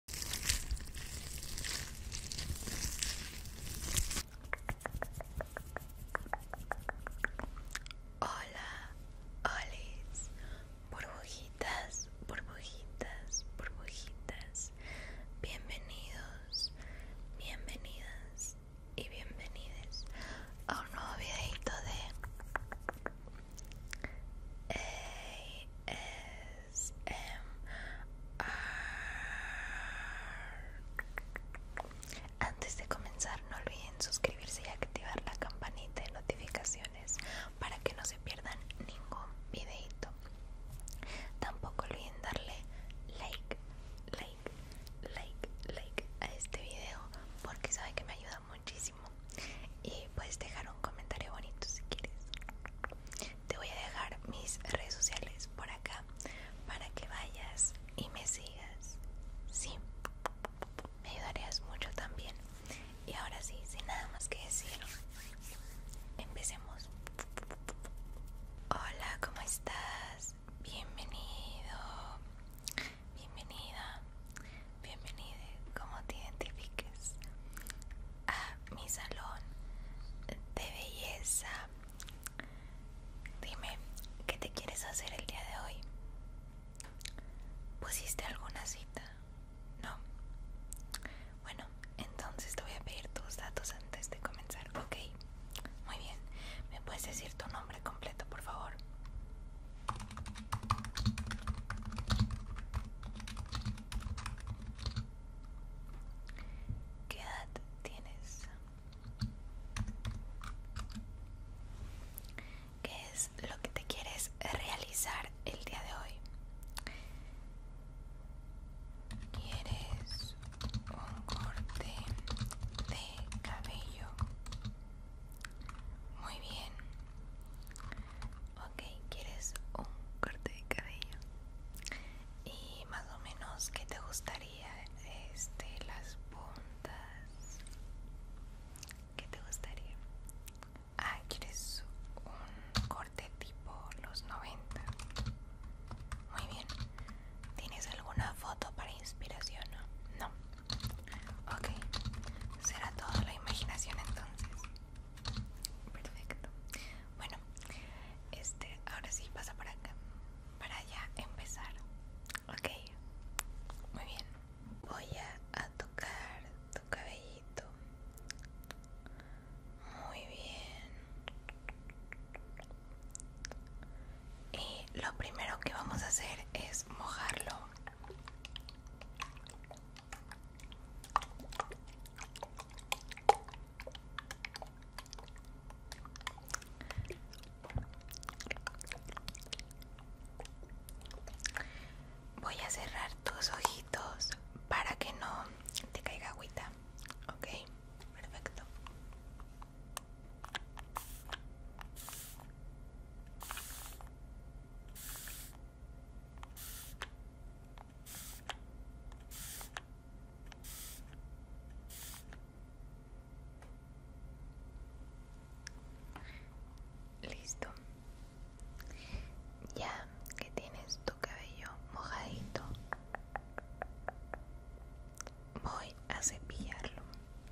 Hola, olis, burbujitas, burbujitas, burbujitas. Bienvenidos, bienvenidas y bienvenides a un nuevo videito de Em, Antes de comenzar, no olviden suscribirse y activar la campanita de notificaciones para que no se pierdan ningún videito. Tampoco olviden darle like, like, like, like a este video porque sabe que me ayuda muchísimo y puedes dejar un comentario bonito si quieres te voy a dejar mis redes sociales por acá para que vayas y me sigas sí me ayudarías mucho también y ahora sí sin nada más que decir empecemos hola cómo estás bienvenido bienvenida bienvenido, cómo te identifiques, a mi salón de belleza. Dime, ¿qué te quieres hacer el día de hoy? ¿Pusiste alguna cita? No. Bueno, entonces te voy a pedir tus datos antes de comenzar, ¿ok? Muy bien, ¿me puedes decir tu nombre completo, por favor? ¿Qué edad tienes? ¿Qué es lo que te quieres realizar el día de hoy? ¿Quieres un corte de cabello? Muy bien. Ok, ¿quieres un corte de cabello? Y más o menos, ¿qué te gustaría? Este, las puntas. ¿Qué te gustaría? Ah, ¿quieres un corte tipo los 90? Muy bien. ¿Tienes alguna foto para inspiración? no. Ok, será toda la imaginación entonces. Perfecto. Bueno, este, ahora sí pasa para acá, para ya empezar. Ok, muy bien. Voy a tocar tu cabellito. Muy bien. Y lo primero que vamos a hacer es mojarlo Voy a cerrar tus ojitos para que no te caiga agüita. Ok, perfecto. Listo. Ya que tienes tu cabello mojadito, voy a cepillarlo.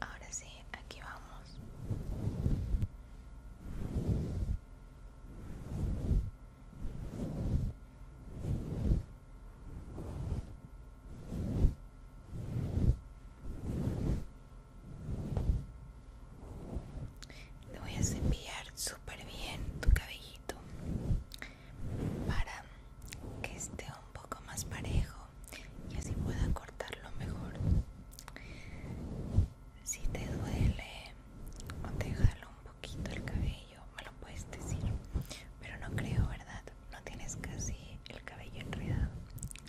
Ahora sí, aquí vamos. Te voy a cepillar súper bien tu cabellito para que esté un poco más parejo y así pueda cortarlo mejor. Si te duele o te jala un poquito el cabello, me lo puedes decir, pero no creo, ¿verdad? No tienes casi el cabello enredado,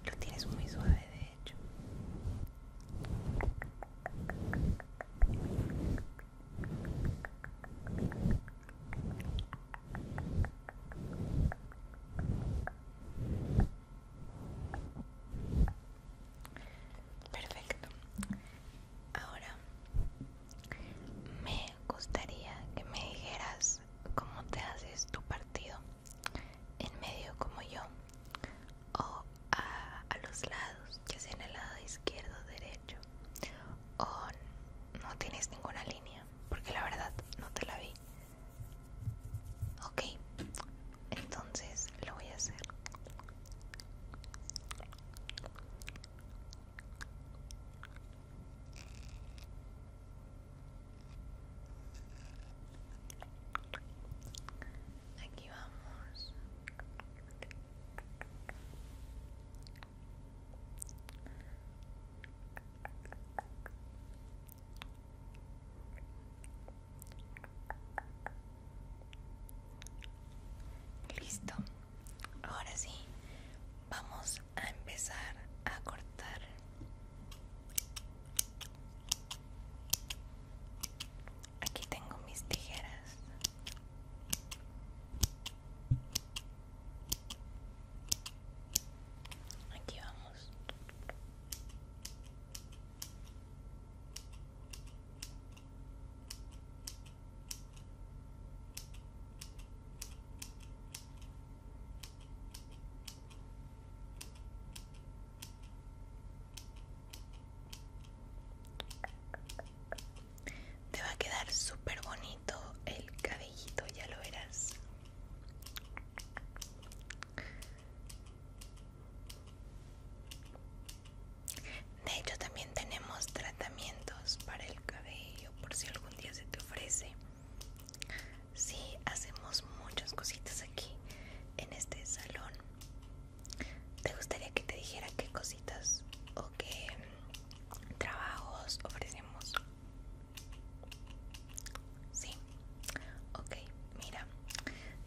lo tienes muy suave de hecho. Perfecto. Ahora me gustaría que me dijeras cómo te haces tu partido. En medio como yo o a, los lados, ya sea en el lado izquierdo o derecho o no tienes ninguna línea porque la verdad no te la vi ok entonces lo voy a hacer Aquí vamos. Listo. Ahora sí, vamos a empezar a cortar. Aquí tengo mis tijeras. Aquí vamos. Te va a quedar súper bonito el cabellito, ya lo verás. De hecho, también tenemos tratamientos para el cabello, por si algún día se te ofrece. Sí, hacemos muchas cositas aquí en este salón. ¿Te gustaría que te dijera qué cositas o qué trabajos ofrecemos? Sí, ok, mira,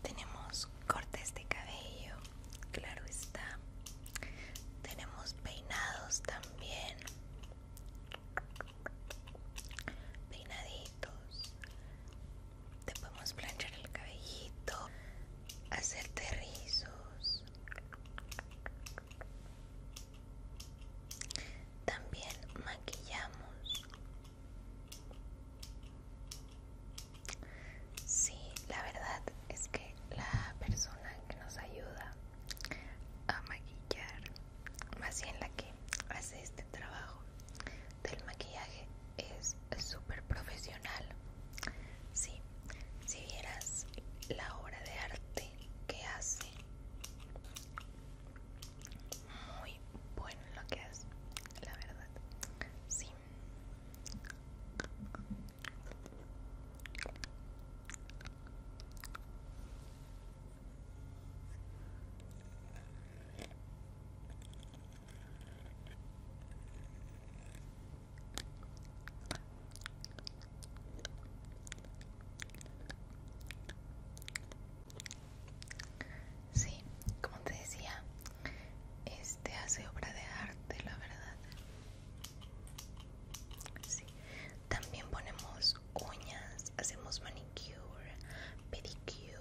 tenemos cortes de cabello, claro está, tenemos peinados también, peinaditos, te podemos planchar el cabellito, hacerte rizos. También maquillamos. Sí, la verdad es que la persona que nos ayuda a maquillar, más bien la que hace este trabajo del maquillaje, es súper profesional. Sí, si vieras la obra de arte que hace, muy bueno lo que hace, la verdad. Sí. Sí, como te decía, este hace obra de arte, la verdad. Sí. También ponemos uñas, hacemos manicure, pedicure.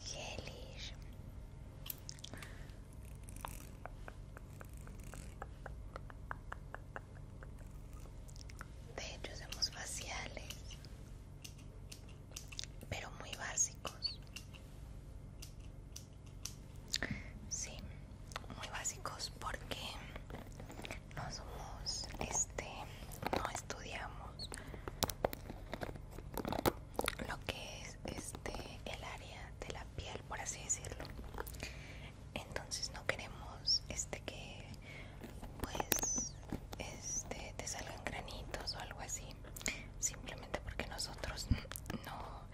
Gelish De hecho somos faciales, pero muy básicos. Sí, muy básicos porque no somos, este, no estudiamos lo que es este el área de la piel por así decirlo entonces no queremos este que pues este te salgan granitos o algo así simplemente porque nosotros no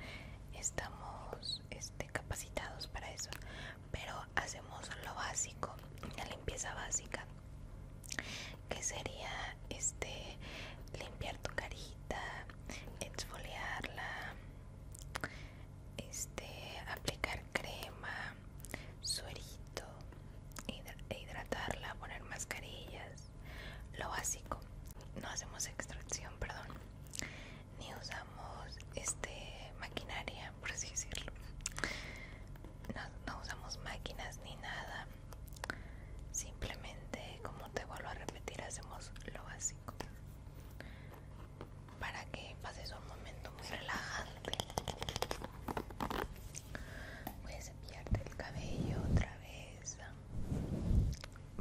estamos este capacitados para eso pero hacemos lo básico la limpieza básica que sería este limpiar tu carita, exfoliarla, este aplicar crema, suerito, hidratarla, poner mascarillas, lo básico. No hacemos extracción, perdón, ni usamos este maquinaria, por así decirlo no, usamos máquinas ni nada. Simplemente, como te vuelvo a repetir, hacemos lo básico para que pases un momento muy relajante. Voy a cepillarte el cabello otra vez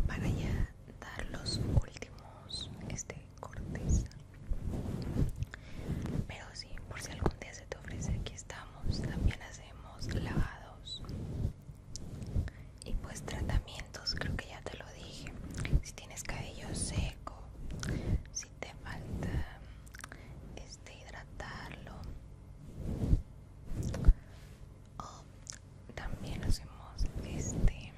para ya dar los últimos este cortes. Pero sí, por si algún día se te ofrece, aquí estamos. También hacemos lavados y pues tratamientos, creo que ya te lo dije. Si tienes cabello seco, si te falta este hidratarlo. o también hacemos este,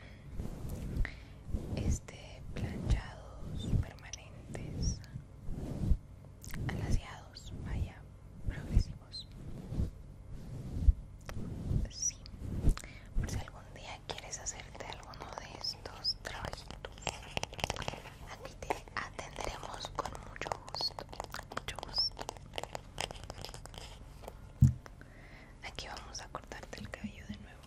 este planchados permanentes alaciados, vaya, progresivos. por si algún día quieres hacerte alguno de estos trabajitos, aquí te atenderemos con mucho gusto, mucho gusto. Aquí vamos a cortarte el cabello de nuevo.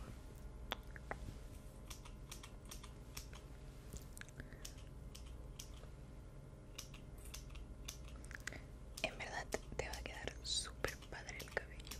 En verdad te va a quedar súper padre el cabello.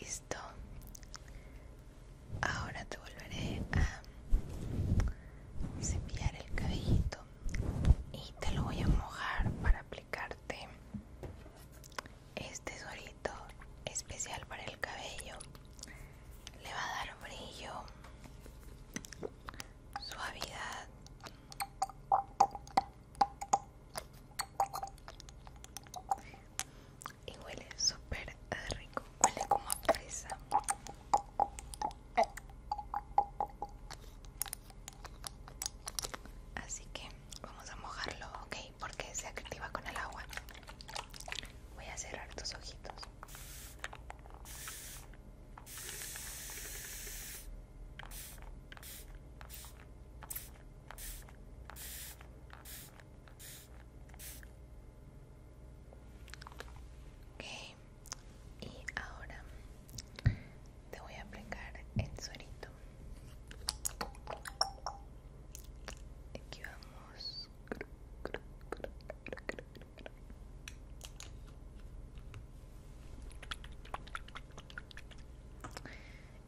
Listo. Ahora te volveré a cepillar el cabellito y te lo voy a mojar para aplicar este suerito especial para el cabello le va a dar brillo suavidad y huele súper rico huele como a fresa Así que vamos a mojarlo, ok, porque se activa con el agua. Voy a cerrar tus ojitos. Ok, y ahora te voy a aplicar el suerito. Aquí vamos.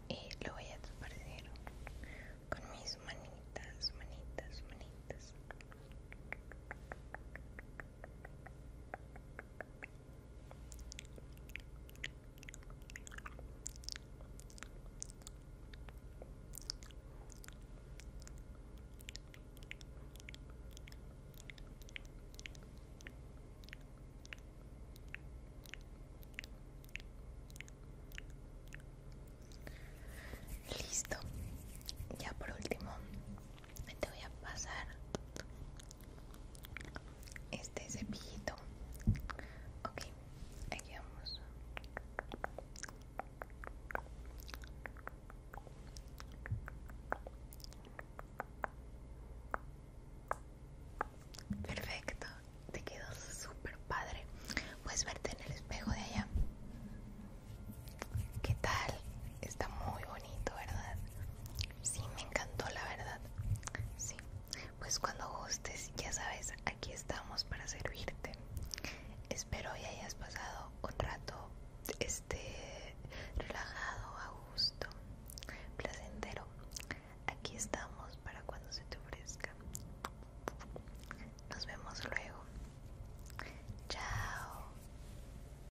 Y lo voy a esparcir con mis manitas, manitas, manitas. Listo. Ya por último te voy a pasar este cepillito ok aquí vamos perfecto te quedó súper padre puedes verte en el espejo de allá ¿Qué tal? Está muy bonito, ¿verdad? Sí, me encantó la verdad. Sí, pues cuando gustes, ya sabes, aquí estamos para servirte. Espero que hayas pasado un rato este relajado, a gusto, placentero. Aquí estamos para cuando se te ofrezca. Nos vemos luego. Chao.